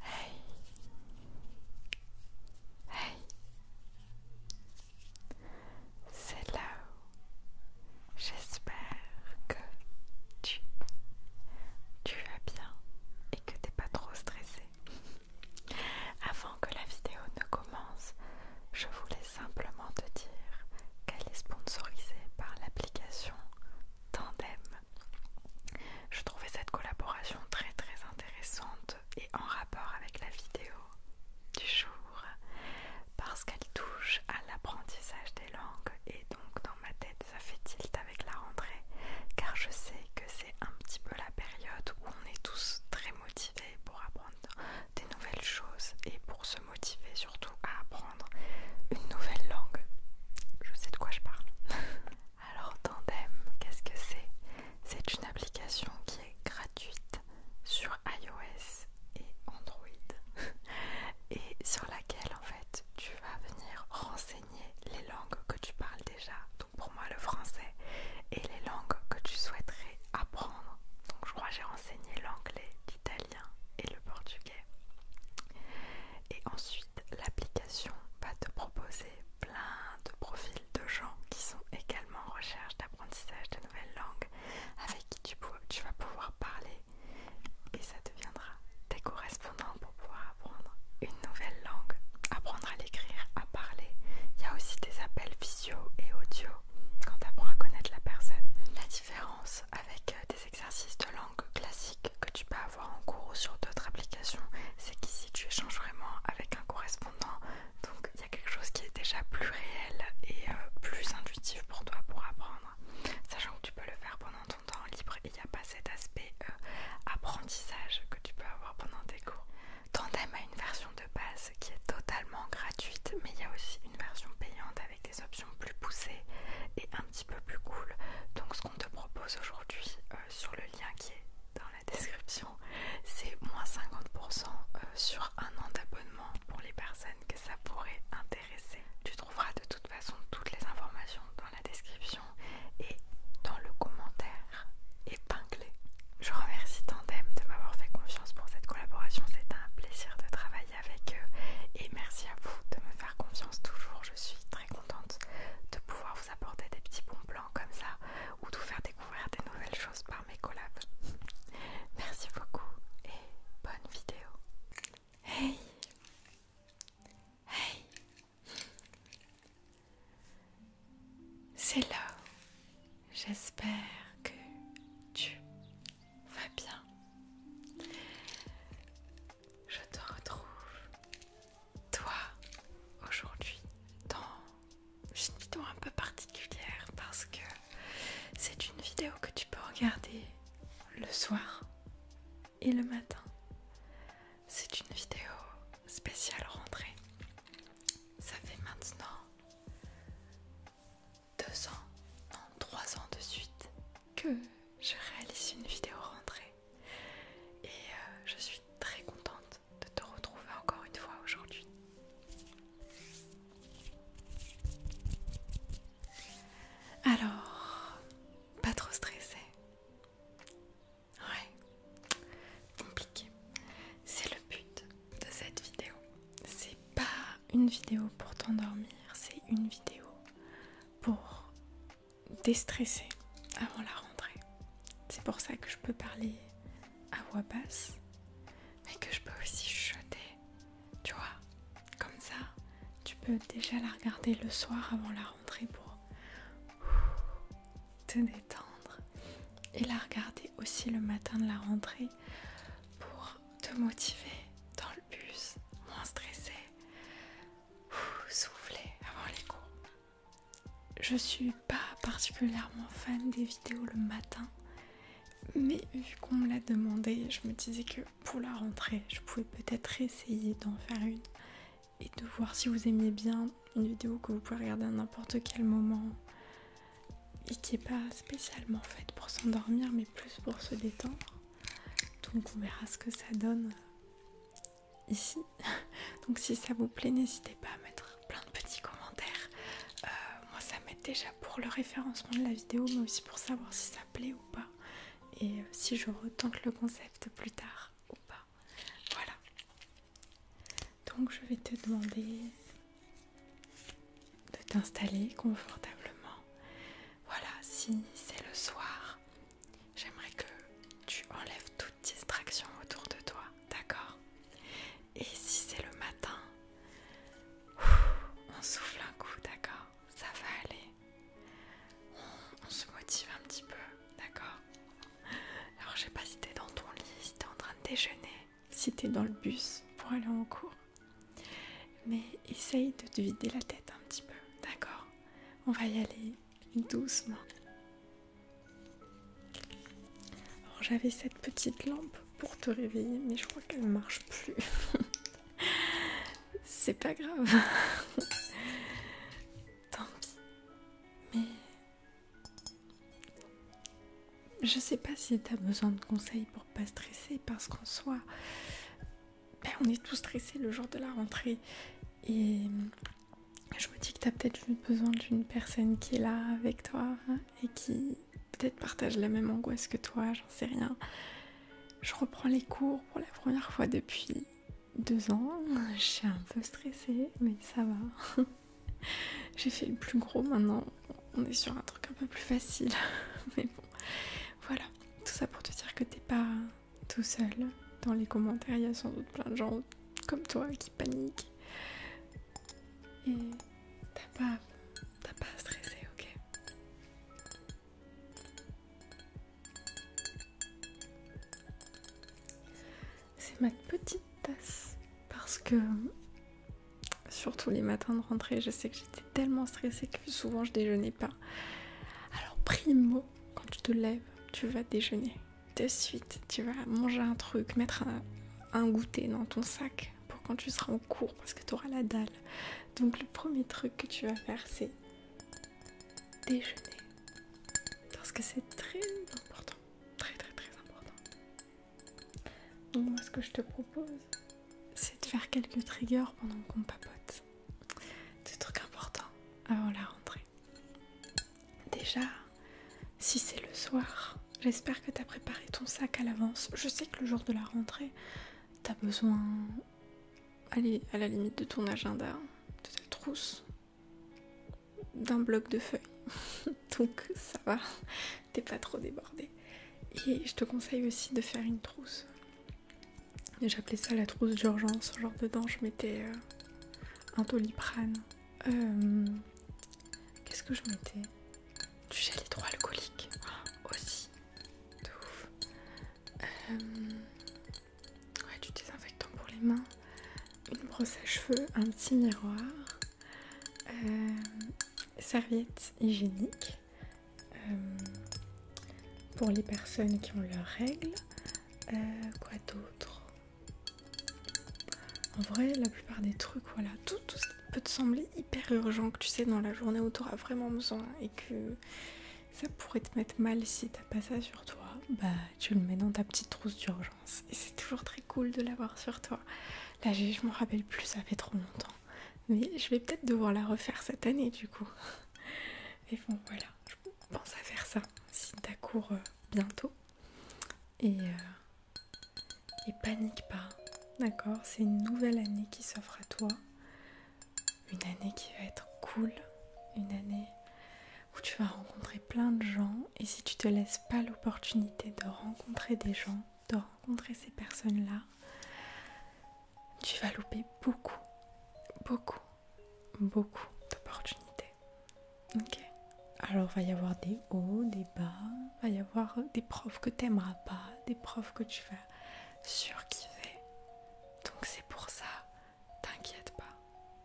Hey Hey C'est là où j'espère que tu, tu vas bien et que t'es pas trop stressé. Avant que la vidéo ne commence, je voulais simplement te dire qu'elle est sponsorisée par l'application tandem. Je trouvais cette collaboration très très intéressante et en rapport avec la vidéo du jour parce qu'elle touche à l'apprentissage des langues et donc dans ma tête ça fait tilt avec la rentrée car je sais que c'est un petit peu la période où on est tous très motivés pour apprendre des nouvelles choses et pour se motiver surtout à apprendre une nouvelle langue. Je sais de quoi je parle. Alors Tandem, qu'est-ce que c'est C'est une application qui est gratuite sur iOS et Android et sur laquelle en fait tu vas venir renseigner les langues que tu parles déjà. Donc pour moi le français et les langues que tu souhaiterais apprendre. Donc je crois que j'ai renseigné l'anglais, l'italien et le portugais. Et ensuite l'application va te proposer plein de profils de gens qui sont également en recherche d'apprentissage de nouvelles langues avec qui tu, vas pouvoir parler et ça deviendra tes correspondants pour pouvoir apprendre une nouvelle langue, apprendre à l'écrire, à parler. Il y a aussi des appels visio et audio quand tu apprends à connaître la personne. La différence avec des euh, exercices de langue classique que tu peux avoir en cours ou sur d'autres applications, c'est qu'ici tu échanges vraiment avec un correspondant. Donc il y a quelque chose qui est déjà plus réel et euh, plus intuitif pour toi pour apprendre. Sachant que tu peux le faire pendant ton temps libre, il n'y a pas cet aspect euh, apprentissage que tu peux avoir pendant tes cours. Tandem a une version de base qui est totalement gratuite, mais il y a aussi une version payante avec des options plus poussées et un petit peu plus cool. Donc qu'on te propose aujourd'hui euh, sur le lien qui est dans la description, c'est moins 50% euh, sur un an d'abonnement pour les personnes que ça pourrait intéresser. Tu trouveras de toute façon toutes les informations dans la description et dans le commentaire épinglé. Je remercie Tandem de m'avoir fait confiance pour cette collaboration, c'est un plaisir de travailler avec eux et merci à vous de me faire confiance toujours, je suis contente de pouvoir vous apporter des petits bons plans comme ça ou de vous faire découvrir des nouvelles choses par mes collabs. Merci beaucoup et bonne vidéo. Hey Hey C'est là. J'espère que tu vas bien. Je te retrouve, toi, aujourd'hui, dans une vidéo un peu particulière parce que c'est une vidéo que tu peux regarder le soir et le matin. C'est une vidéo spéciale rentrée. Ça fait maintenant deux ans, non trois ans de suite que je réalise une vidéo rentrée et euh, je suis très contente de te retrouver encore une fois aujourd'hui. Alors, pas trop stressé. Ouais, compliqué. C'est le but de cette vidéo. C'est pas une vidéo pour t'endormir, c'est une vidéo pour déstresser avant la rentrée. C'est pour ça que je peux parler à voix basse, mais que je peux aussi jeter. tu vois. Comme ça, tu peux déjà la regarder le soir avant la rentrée pour te détendre et la regarder aussi le matin de la rentrée pour te motiver dans le bus, moins stressé, Soufflez avant les cours. Je suis pas particulièrement fan des vidéos le matin, mais vu qu'on me l'a demandé, je me disais que pour la rentrée, je pouvais peut-être essayer d'en faire une et de voir si vous aimiez bien une vidéo que vous pouvez regarder à n'importe quel moment et qui n'est pas spécialement faite pour s'endormir mais plus pour se détendre. Donc on verra ce que ça donne euh, ici. Donc si ça vous plaît, n'hésitez pas à mettre plein de petits commentaires. Euh, moi ça m'aide déjà pour le référencement de la vidéo, mais aussi pour savoir si ça plaît ou pas. Et euh, si je retente le concept plus tard ou pas. Voilà. Donc je vais te demander de t'installer confortablement. Voilà, si c'est le soir, j'aimerais que tu enlèves toute distraction autour de toi, d'accord Et si c'est le matin, on souffle un coup, d'accord Ça va aller. On, se motive un petit peu, d'accord Alors je sais pas si es dans ton lit, si es en train de déjeuner, si tu es dans le bus pour aller en cours. Mais essaye de te vider la tête un petit peu, d'accord on va y aller doucement. j'avais cette petite lampe pour te réveiller, mais je crois qu'elle ne marche plus. C'est pas grave. Tant pis. Mais je sais pas si tu as besoin de conseils pour pas stresser parce qu'en soit... Ben, on est tous stressés le jour de la rentrée. Et je me dis que tu as peut-être besoin d'une personne qui est là avec toi et qui peut-être partage la même angoisse que toi, j'en sais rien. Je reprends les cours pour la première fois depuis deux ans. Je suis un peu stressée, mais ça va. J'ai fait le plus gros maintenant. On est sur un truc un peu plus facile. mais bon, voilà. Tout ça pour te dire que t'es pas, tout seul. Dans les commentaires, il y a sans doute plein de gens comme toi qui paniquent. Et t'as pas, t'as pas stressé ok C'est ma petite tasse parce que surtout les matins de rentrée, je sais que j'étais tellement stressée souvent je déjeunais pas. Alors primo, quand tu te lèves, tu vas déjeuner. De suite, tu vas manger un truc, mettre un, un goûter dans ton sac pour quand tu seras en cours parce que tu auras la dalle. Donc le premier truc que tu vas faire, c'est déjeuner. Parce que c'est très important. Très très très important. Donc moi ce que je te propose, c'est de faire quelques triggers pendant qu'on papote des trucs importants avant la rentrée. Déjà, si c'est le soir, j'espère que t'as préparé ton sac à l'avance. Je sais que le jour de la rentrée, tu besoin, aller à la limite de ton agenda, de ta trousse, d'un bloc de feuilles. Donc ça va, t'es pas trop débordé. Et je te conseille aussi de faire une trousse j'appelais ça la trousse d'urgence. Genre dedans, je mettais euh, un toliprane euh, Qu'est-ce que je mettais Du gel hydroalcoolique oh, aussi. De ouf. Euh, ouais, du désinfectant pour les mains. Une brosse à cheveux, un petit miroir. serviette hygiénique. Euh, pour les personnes qui ont leurs règles. Euh, quoi d'autre En vrai, la plupart des trucs, voilà, tout, tout ce qui peut te sembler hyper urgent que tu sais dans la journée où tu auras vraiment besoin et que ça pourrait te mettre mal si t'as pas ça sur toi, bah tu le mets dans ta petite trousse d'urgence. Et c'est toujours très cool de l'avoir sur toi. Là, je m'en rappelle plus, ça fait trop longtemps. Mais je vais peut-être devoir la refaire cette année du coup. Et bon voilà, je pense à faire ça si t'as cours euh, bientôt. Et, euh, et panique pas, d'accord C'est une nouvelle année qui s'offre à toi. Une année qui va être cool. Une année où tu vas rencontrer plein de gens. Et si tu te laisses pas l'opportunité de rencontrer des gens, de rencontrer ces personnes-là, tu vas louper beaucoup, beaucoup, beaucoup d'opportunités. Ok Alors, va y avoir des hauts, des bas, va y avoir des profs que tu n'aimeras pas, des profs que tu vas surkiffer. Donc, c'est pour ça, t'inquiète pas,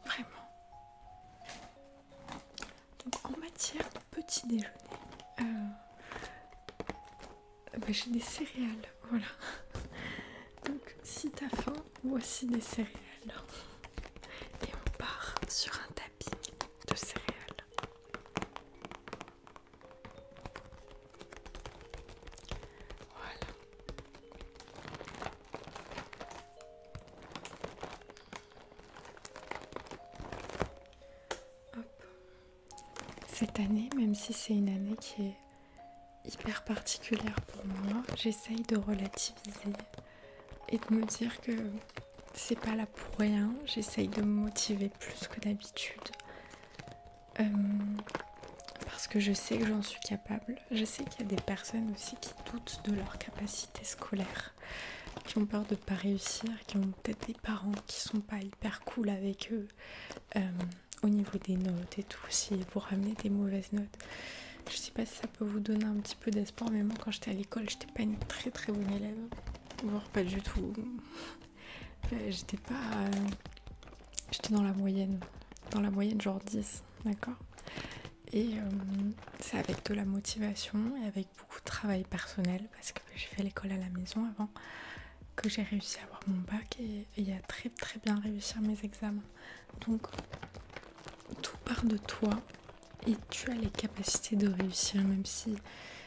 vraiment. Donc, en matière de petit déjeuner, euh, ah bah, j'ai des céréales, voilà. Donc si t'as faim, voici des céréales. Et on part sur un tapis de céréales. Voilà. Hop. Cette année, même si c'est une année qui est hyper particulière pour moi, j'essaye de relativiser et de me dire que c'est pas là pour rien. J'essaye de me motiver plus que d'habitude. Euh, parce que je sais que j'en suis capable. Je sais qu'il y a des personnes aussi qui doutent de leur capacité scolaire, qui ont peur de ne pas réussir, qui ont peut-être des parents qui sont pas hyper cool avec eux, euh, au niveau des notes et tout, si vous ramenez des mauvaises notes. Je sais pas si ça peut vous donner un petit peu d'espoir, mais moi quand j'étais à l'école, j'étais pas une très très bonne élève, voire pas du tout. Euh, j'étais pas. Euh, j'étais dans la moyenne, dans la moyenne genre 10, d'accord Et euh, c'est avec de la motivation et avec beaucoup de travail personnel parce que j'ai fait l'école à la maison avant que j'ai réussi à avoir mon bac et, à très très bien réussir mes examens. Donc tout part de toi et tu as les capacités de réussir même si,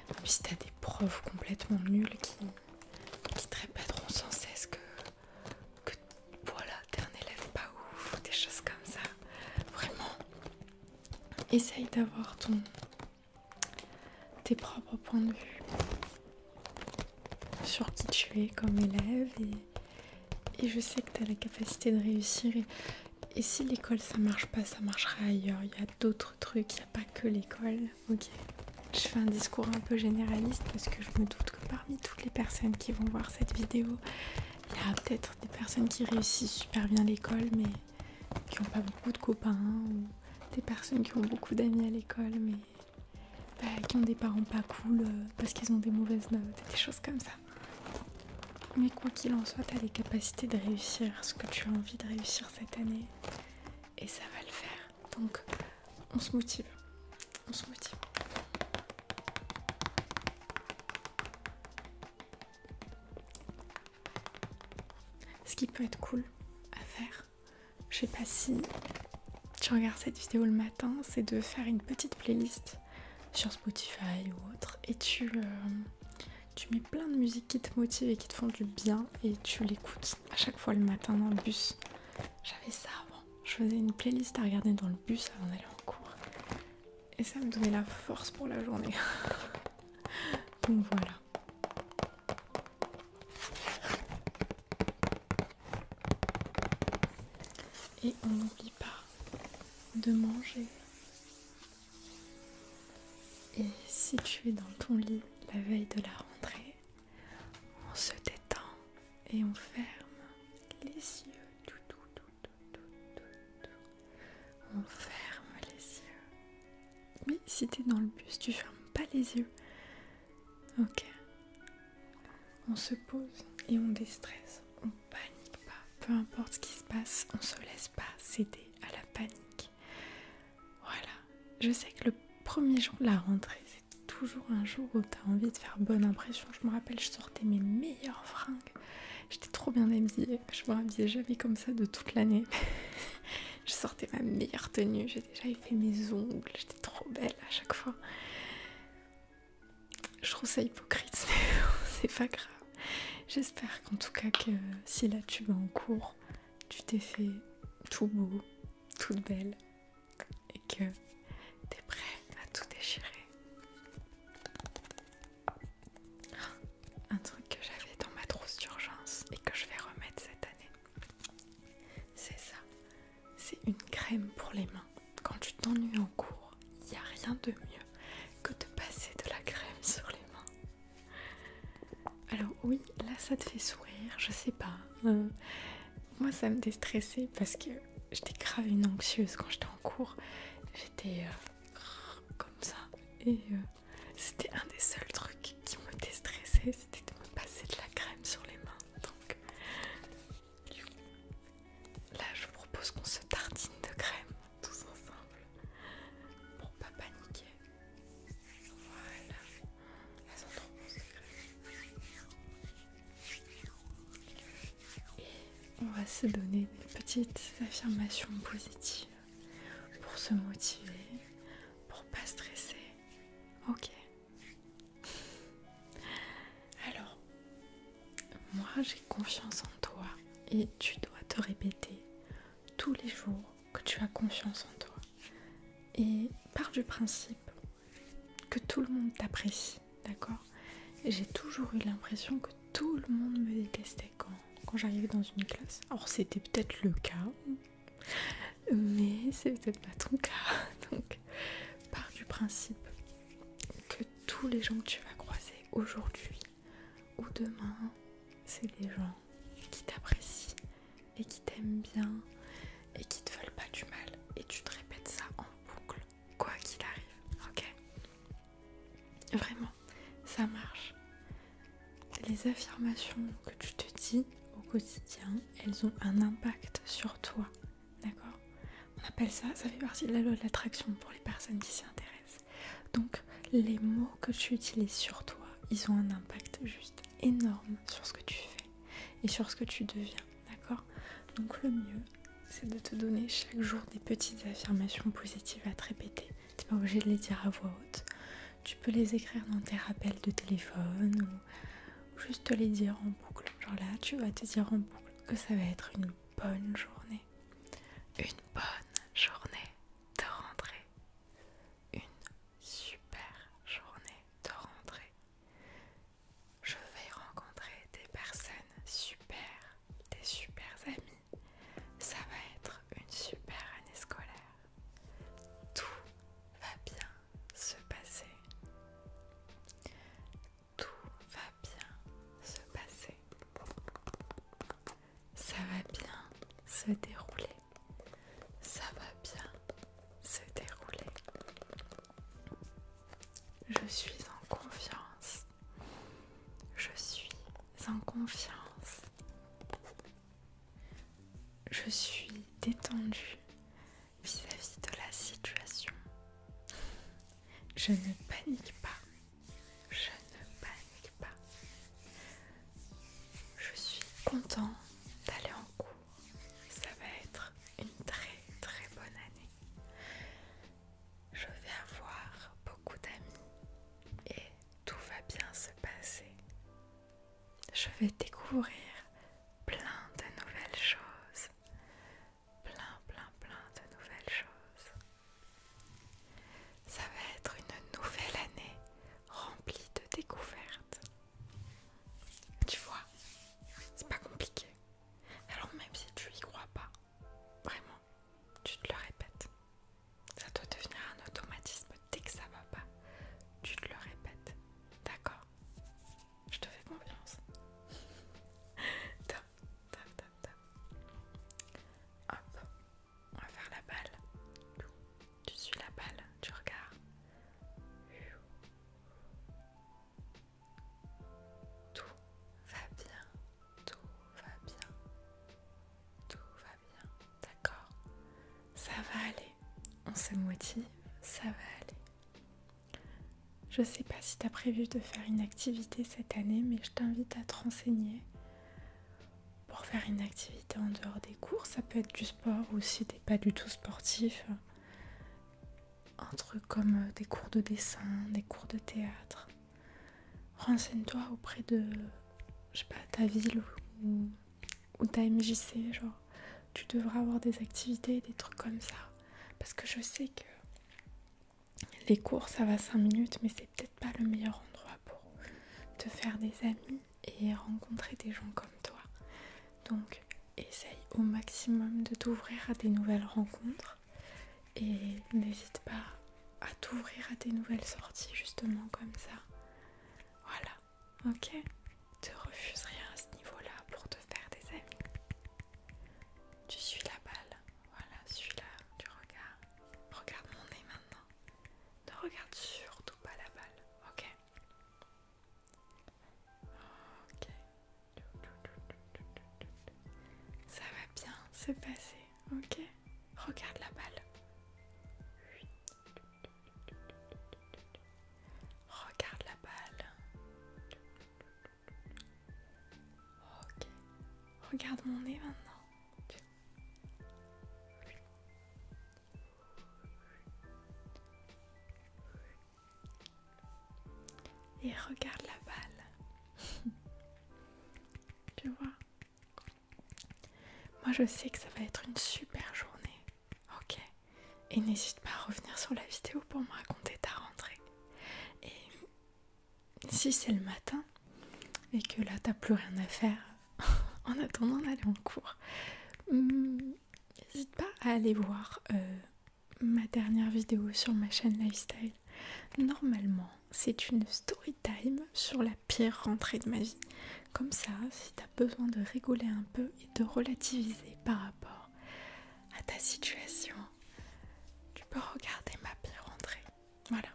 t'as tu des profs complètement nuls qui, qui te répéteront sans cesse que, voilà, t'es un élève pas ouf des choses comme ça. Vraiment, essaye d'avoir ton tes propres points de vue sur qui tu es comme élève et, je sais que tu as la capacité de réussir et, si l'école ça marche pas ça marchera ailleurs il y a d'autres trucs il n'y a pas que l'école ok je fais un discours un peu généraliste parce que je me doute que parmi toutes les personnes qui vont voir cette vidéo il y a peut-être des personnes qui réussissent super bien l'école mais qui n'ont pas beaucoup de copains ou des personnes qui ont beaucoup d'amis à l'école mais bah, qui ont des parents pas cool euh, parce qu'ils ont des mauvaises notes et des choses comme ça. Mais quoi qu'il en soit, tu as les capacités de réussir ce que tu as envie de réussir cette année et ça va le faire. Donc on se motive. On se motive. Ce qui peut être cool à faire, je sais pas si tu regardes cette vidéo le matin, c'est de faire une petite playlist sur Spotify ou autre et tu, euh, tu mets plein de musique qui te motive et qui te font du bien et tu l'écoutes à chaque fois le matin dans le bus. J'avais ça avant, je faisais une playlist à regarder dans le bus avant d'aller en cours et ça me donnait la force pour la journée. Donc voilà. Et on n'oublie pas de manger. Et si tu es dans ton lit la veille de la rentrée, on se détend et on ferme les yeux. On ferme les yeux mais si t'es dans le bus, tu fermes pas les yeux. Ok. On se pose et on déstresse. On panique pas. Peu importe ce qui se passe, on se laisse pas céder à la panique. Voilà. Je sais que le premier jour de la rentrée, c'est toujours un jour où t'as envie de faire bonne impression. Je me rappelle, je sortais mes meilleures fringues. J'étais trop bien habillée. Je me rhabillais jamais comme ça de toute l'année. Je sortais ma meilleure tenue, j'ai déjà fait mes ongles, j'étais trop belle à chaque fois. Je trouve ça hypocrite, mais c'est pas grave. J'espère qu'en tout cas que si là tu vas en cours, tu t'es fait tout beau, toute belle et que t'es prêt à tout déchirer un truc que j'avais dans ma trousse d'urgence et que je vais remettre cette année. C'est ça, c'est une crème pour les mains. Quand tu t'ennuies en cours, il n'y a rien de mieux que de passer de la crème sur les mains. Alors oui, là ça te fait sourire, je sais pas. Euh, moi ça me déstressait parce que j'étais grave une anxieuse quand j'étais en cours. J'étais euh, comme ça et euh, c'était un des seuls trucs qui me déstressait, c'était de me passer de la crème sur les mains. Donc là, je vous propose qu'on se tartine de crème tous ensemble pour pas paniquer. Voilà, elles sont trop Et on va se donner des petites affirmations positives pour se motiver, pour pas stresser. Ok. Alors, moi j'ai confiance en toi et tu dois te répéter tous les jours que tu as confiance en toi. Et par du principe que tout le monde t'apprécie, d'accord J'ai toujours eu l'impression que tout le monde me détestait quand quand j'arrivais dans une classe. Alors c'était peut-être le cas, mais c'est peut-être pas ton cas. Donc pars du principe que tous les gens que tu vas croiser aujourd'hui ou demain, c'est des gens qui t'apprécient et qui t'aiment bien et qui te veulent pas du mal. Et tu te répètes ça en boucle, quoi qu'il arrive, ok Vraiment ça marche. Les affirmations que tu te dis au quotidien, elles ont un impact sur toi. D'accord On appelle ça, ça fait partie de la loi de l'attraction pour les personnes qui s'y intéressent. Donc les mots que tu utilises sur toi, ils ont un impact juste énorme sur ce que tu fais et sur ce que tu deviens. D'accord Donc le mieux, c'est de te donner chaque jour des petites affirmations positives à te répéter. T'es pas obligé de les dire à voix haute tu peux les écrire dans tes rappels de téléphone ou juste te les dire en boucle. Genre là, tu vas te dire en boucle que ça va être une bonne journée. Une bonne journée de rentrée. Une super journée de rentrée. Je vais rencontrer des personnes super, des super amis. Ça va être une super année scolaire. Tout va bien se passer. Tout va bien se passer. Ça va bien se dérouler. Ça va bien se dérouler. Je suis en confiance. Je suis en confiance. Je suis détendue vis-à-vis de la situation. Je ne panique pas. Je ne panique pas. Je suis content d'aller en cours. Ça va être une très très bonne année. Je vais avoir beaucoup d'amis et tout va bien se passer. Je vais découvrir plein de nouvelles choses. Plein, plein, plein de nouvelles choses. Ça va être une nouvelle année remplie de découvertes. Tu vois, c'est pas compliqué. Alors même si tu y crois pas, vraiment, tu te le répètes. Ça doit devenir un automatisme dès que ça va pas. Tu te le répètes. D'accord Je te fais confiance. top, top, top, top. Hop. On va faire la balle. Tu suis la balle, tu regardes. Tout va bien. Tout va bien. Tout va bien. D'accord Ça va aller. On se motive. Ça va aller. Je sais pas si tu as prévu de faire une activité cette année, mais je t'invite à te renseigner pour faire une activité en dehors des cours. Ça peut être du sport ou si tu n'es pas du tout sportif. Un truc comme euh, des cours de dessin, des cours de théâtre, renseigne-toi auprès de, je sais pas, ta ville ou, ou ta MJC, genre, tu devras avoir des activités, des trucs comme ça. Parce que je sais que les cours, ça va 5 minutes, mais c'est peut-être pas le meilleur endroit pour te faire des amis et rencontrer des gens comme toi. Donc, essaye au maximum de t'ouvrir à des nouvelles rencontres et n'hésite pas à t'ouvrir à tes nouvelles sorties justement comme ça. Voilà, ok Te refuse rien à ce niveau-là pour te faire des amis. Tu suis la balle, voilà, suis-la tu regardes. Regarde mon nez maintenant. Ne regarde surtout pas la balle, ok Ok. Ça va bien c'est passé ok. Regarde la balle. Regarde la balle. Ok. Regarde mon nez maintenant. Et regarde la balle. tu vois moi je sais que ça va être une super journée, ok Et n'hésite pas à revenir sur la vidéo pour me raconter ta rentrée. Et si c'est le matin et que là t'as plus rien à faire en attendant d'aller en cours, hmm, n'hésite pas à aller voir euh, ma dernière vidéo sur ma chaîne Lifestyle. Normalement, c'est une story time sur la pire rentrée de ma vie. Comme ça, si t'as besoin de rigoler un peu et de relativiser par rapport à ta situation, tu peux regarder ma pire rentrée. Voilà.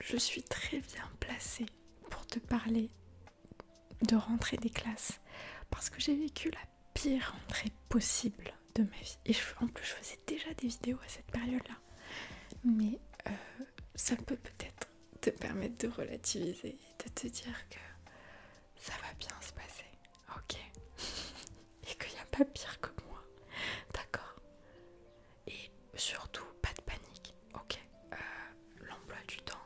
Je suis très bien placée pour te parler de rentrée des classes parce que j'ai vécu la pire rentrée possible de ma vie. Et je, en plus, je faisais déjà des vidéos à cette période-là. Mais euh, ça peut peut-être te permettre de relativiser et de te dire que ça va bien se passer, ok Et qu'il n'y a pas pire que moi, d'accord Et surtout, pas de panique, ok euh, L'emploi du temps,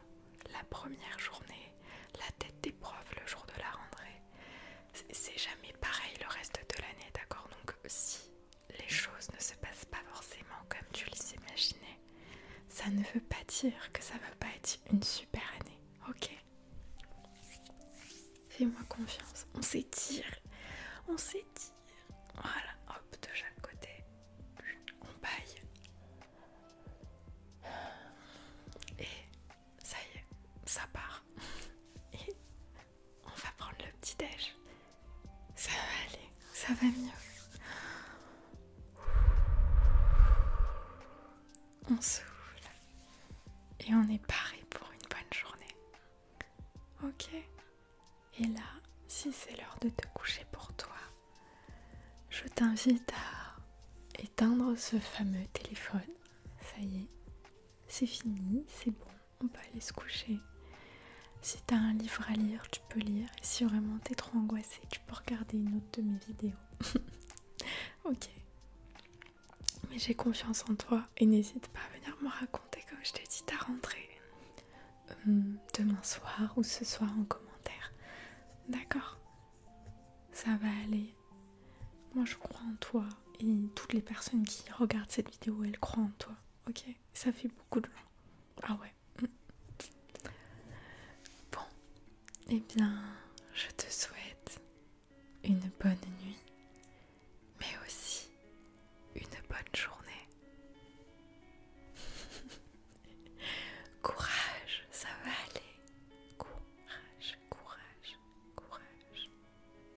la première journée, la tête des profs le jour de la rentrée, c'est jamais pareil le reste de l'année, d'accord Donc si les choses ne se passent pas forcément comme tu les imaginais, ça ne veut pas dire que ça va pas être une super année, ok Fais-moi confiance, on s'étire, on s'étire. Voilà, hop, de chaque côté, on baille. Et ça y est, ça part. Et on va prendre le petit déj. Ça va aller, ça va mieux. On souffle et on est paré pour une bonne journée. Ok Et là, si c'est l'heure de te coucher pour toi, je t'invite à éteindre ce fameux téléphone. Ça y est, c'est fini, c'est bon on peut aller se coucher. Si t'as un livre à lire, tu peux lire. Et si vraiment t'es trop angoissé, tu peux regarder une autre de mes vidéos. ok. Mais j'ai confiance en toi et n'hésite pas à venir me raconter, comme je t'ai dit, ta rentrée hum, demain soir ou ce soir en commentaire. D'accord Ça va aller. Moi je crois en toi et toutes les personnes qui regardent cette vidéo, elles croient en toi. Ok Ça fait beaucoup de gens. Ah ouais. Mm. Bon. Eh bien, je te souhaite une bonne nuit, mais aussi une bonne journée. courage, ça va aller. Courage, courage, courage.